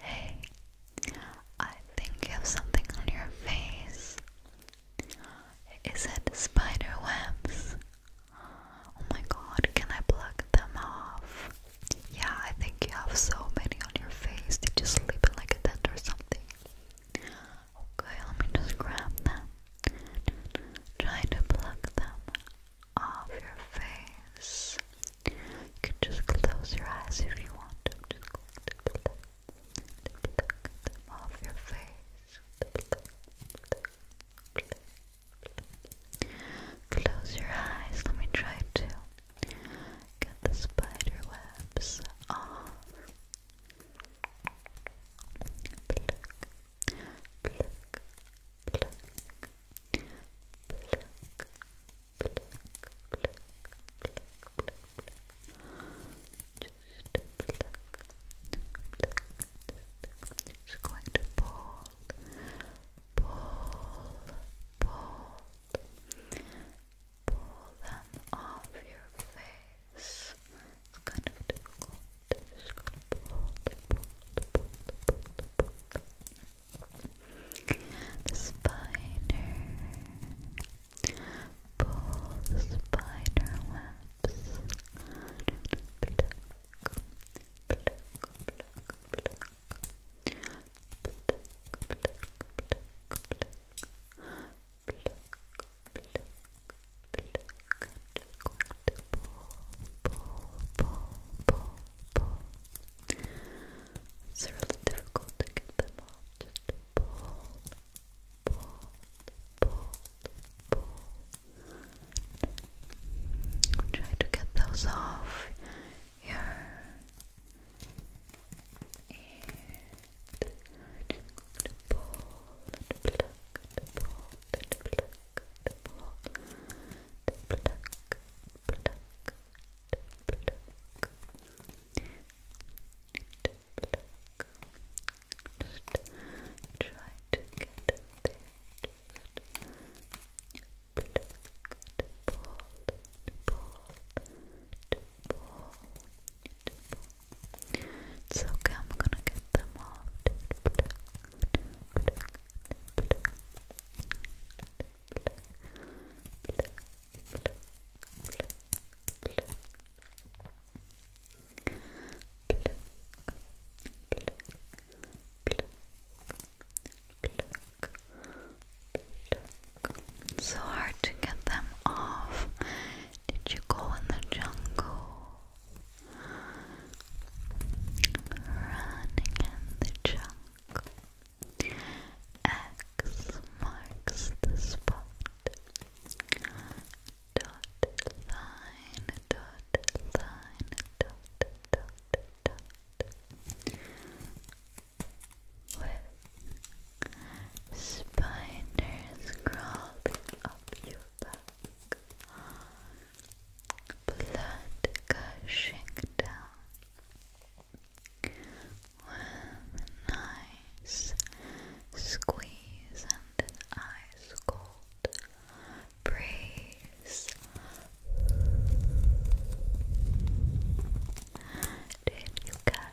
Hey. I think you have something on your face. Is it spider webs? Oh my god, can I pluck them off? Yeah, I think you have so many on your face. Did you sleep in like a tent or something? Okay, let me just grab them. Try to pluck them off your face. You can just close your eyes if you want to. just pluck, them off your face. Close your eyes. Let me try to get the spider off. Just going to pull, pull, pull, pull, pull them off your face. It's kind of difficult. i just gonna pull, pull, pull, pull, pull, pull. The spider. Pull the spider webs. Pluck, it's really difficult to get them out. Try to get those off here to pull try to get there. It's okay, I'm gonna get them off. So hard to get them off. Did you go in the jungle? Running in the jungle. X marks the spot. Dot line, dot line, dot dot dot. With Spiders crawling up your back. Blood gushing down. With a nice and an ice cold breeze. Did you catch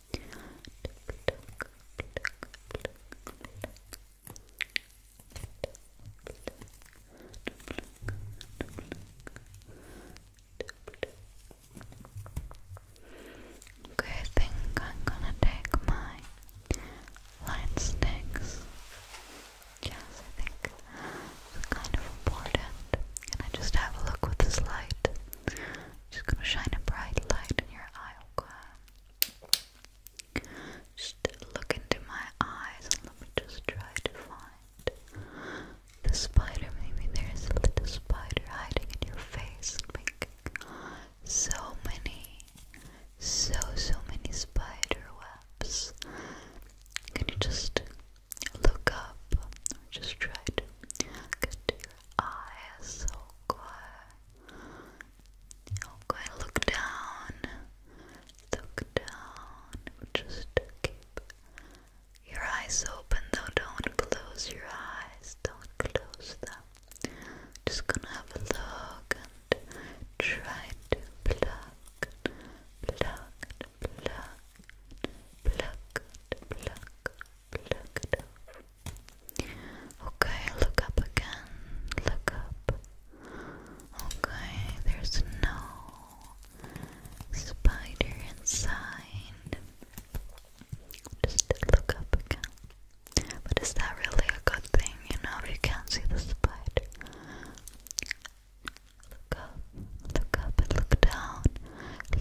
Okay, I think I'm gonna take my light sticks. Yes, I think it's kind of important. And I just have a look with this light. Just gonna shine a bright light in your eye, okay? Just look into my eyes and let me just try to find the spider. Maybe there's a little spider hiding in your face so many, so, so many spider webs. Can you just look up just try to eyes, okay. Okay, look down. Look down. Just keep your eyes open though. Don't close your eyes. Don't close them. Just gonna have a look and try to pluck, pluck, pluck, pluck, pluck, pluck it off. Okay, look up again. Look up. Okay, there's no spider inside. Just look up again. But is that really a good thing, you know, if you can't see the spider? Look up, look up and look down.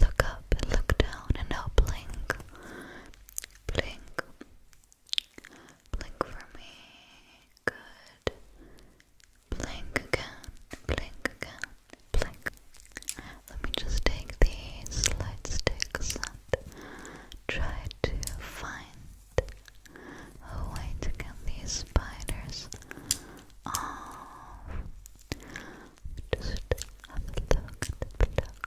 Look up and look down and now blink blink, blink for me. Good. Blink again, blink again, blink. Let me just take the slide sticks and try to find a way to get these spiders off. Just have a look, have a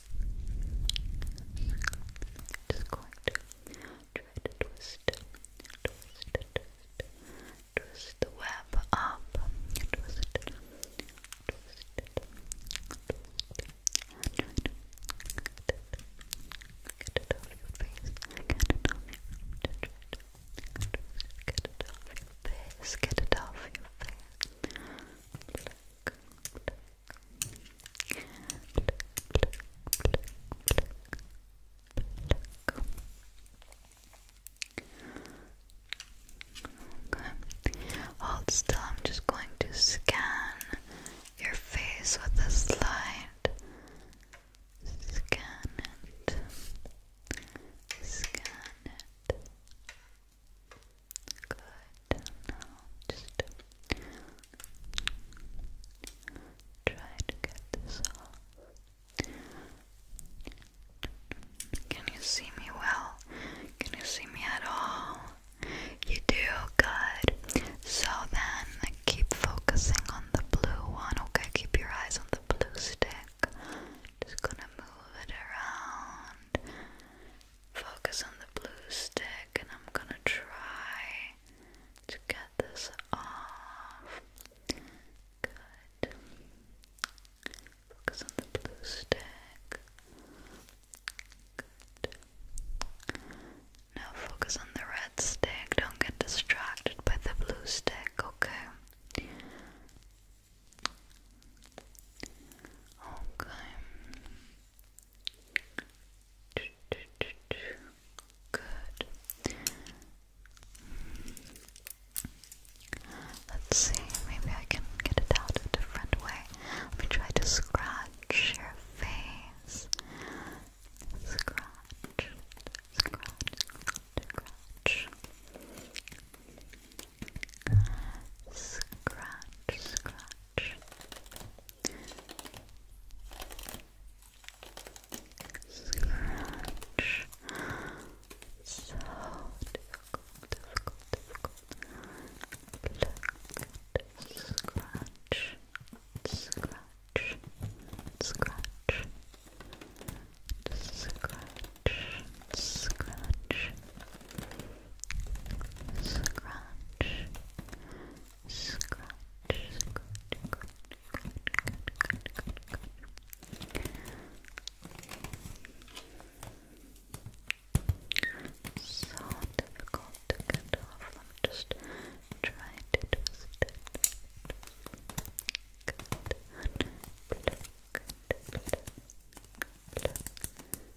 Just going to try to twist, twist, twist, twist the web up, twist it, twist twist get it, off your face, get it off your face, get it off your face, get it off your face, Hold still. I'm just going to scan your face with this light. Scan it. Scan it. Good. Now just try to get this off. Can you see me well? Can you see me at all? You do good. So then keep focusing on the blue one. Okay, keep your eyes on the blue stick. Just gonna move it around focus on the blue stick and I'm gonna try to get this off. Good. Focus on the blue stick. Good. Now focus on the red stick. Don't get distracted by the blue stick, okay? Okay. Good. Let's see, maybe I can get it out a different way. Let me try to scratch your face. Scratch, scratch, scratch, scratch. Scratch, scratch, Scratch. So difficult, difficult, difficult. Pluck. Scratch. Scratch. Scratch. Scratch. Scratch. Scratch. Scratch. So difficult to get off. just try to twist it.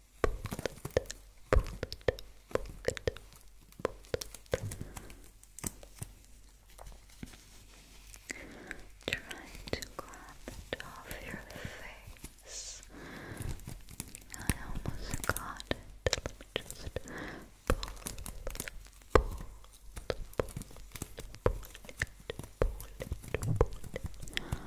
Trying to grab off your face. I almost got it. Let me just pull, pull, pull, pull it, pull it, pull it.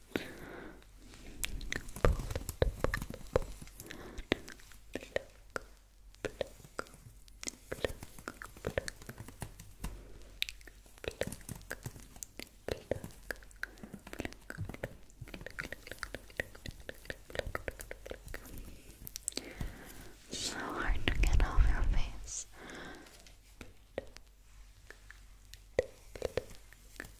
So hard to get off your face.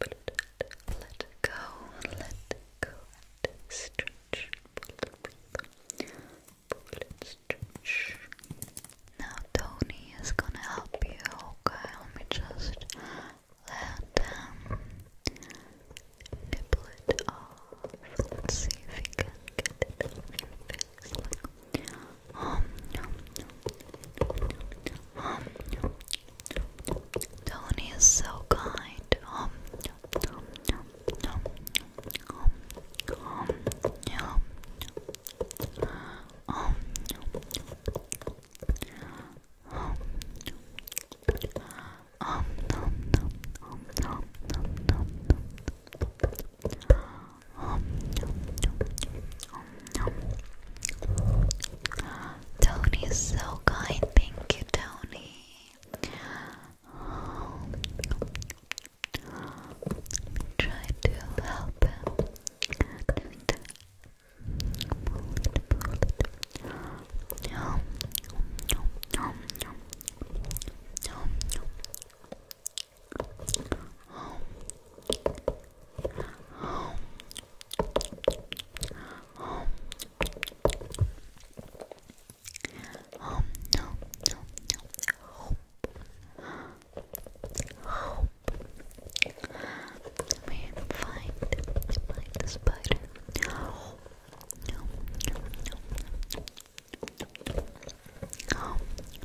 let go, let go stretch. Now Tony is gonna help you, okay? Let me just let um nibble it off. Let's see if he can get it off um, Tony is so kind. Tony is so kind. Thank you, Tony. Try to help him oh, home, home. Um, no, no, no. Hope. Hope. We find, find the spider. Hope. No, no, no, no. Hope.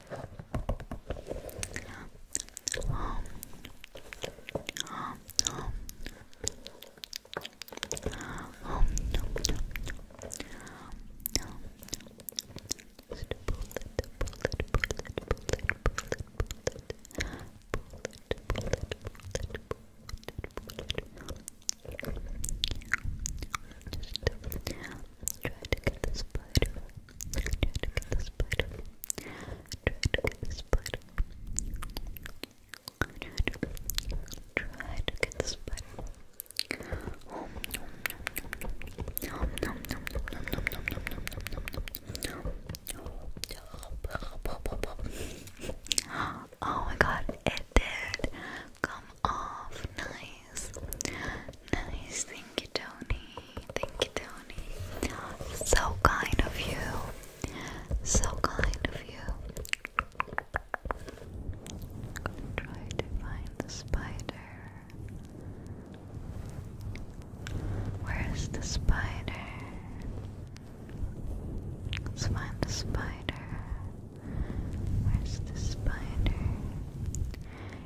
Just try to get the spider Try to get this spider. Try to get this spider. Try to, get the spider. Oh my god, it did come off. Nice nice. Nice, thank you, Tony. Thank you, Tony. So kind of you. So kind of you. try to find the spider. Where is the spider? Let's find the spider. Where's the spider?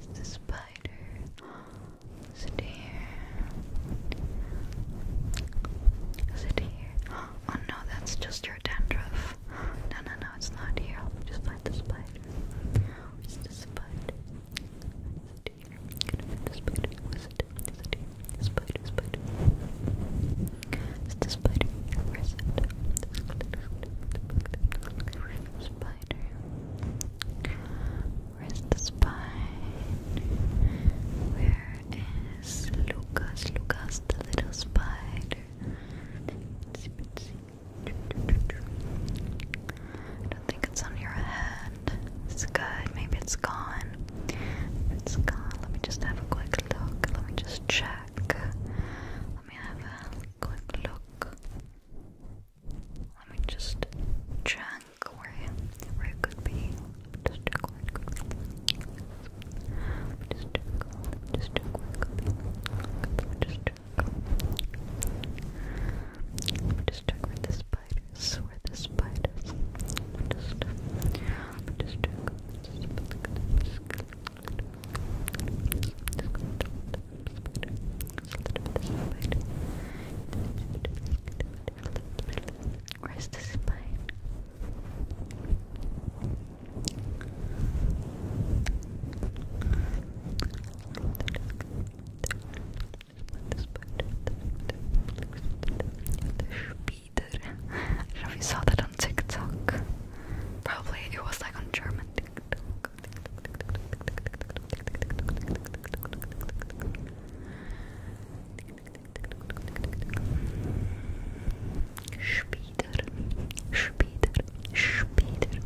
is the spider? Is it here? Is it here? Oh no, that's just your dandruff. No, no, no, it's not here. I'll just find the spider. Where's the spider? Is it here? Can I find the spider? Is it? Is it here? The spider, spider. Is the spider? Where is it? Spider. Where's the spider? Where is Lucas? Lucas, the little spider. don't think it's on your head. It's good. Maybe it's gone. If it's gone, let me just have a quick look. Let me just check. Let me have a quick look. Let me just check where, where it could be. Just check Just check. Just check Just check. the spiders. Where the spiders. Where's the spine? Peter. I don't know if you saw that on TikTok. Probably it was like on German TikTok. Speeder, speeder, speeder.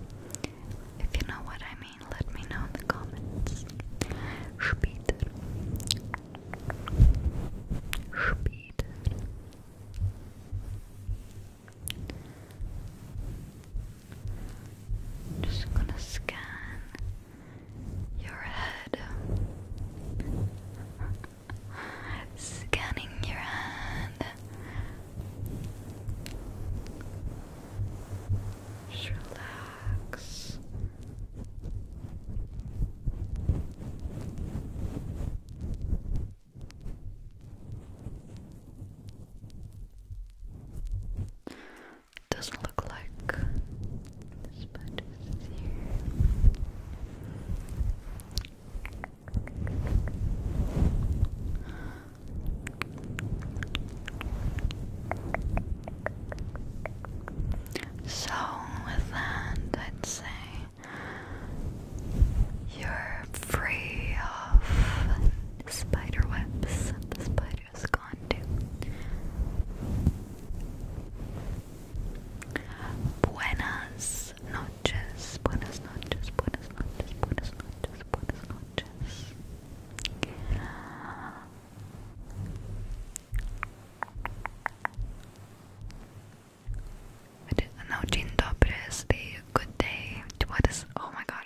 If you know what I mean, let me know in the comments. Speeder, speeder. Just gonna scan your head. Scanning your hand. Just relax. Doesn't look like this much is here. So, with that, I'd say you're free of spider webs the spider's gone to. Buenas noches, buenas noches, buenas noches, buenas noches, buenas noches. Now, Dzień dobry good day. What is? Oh my god,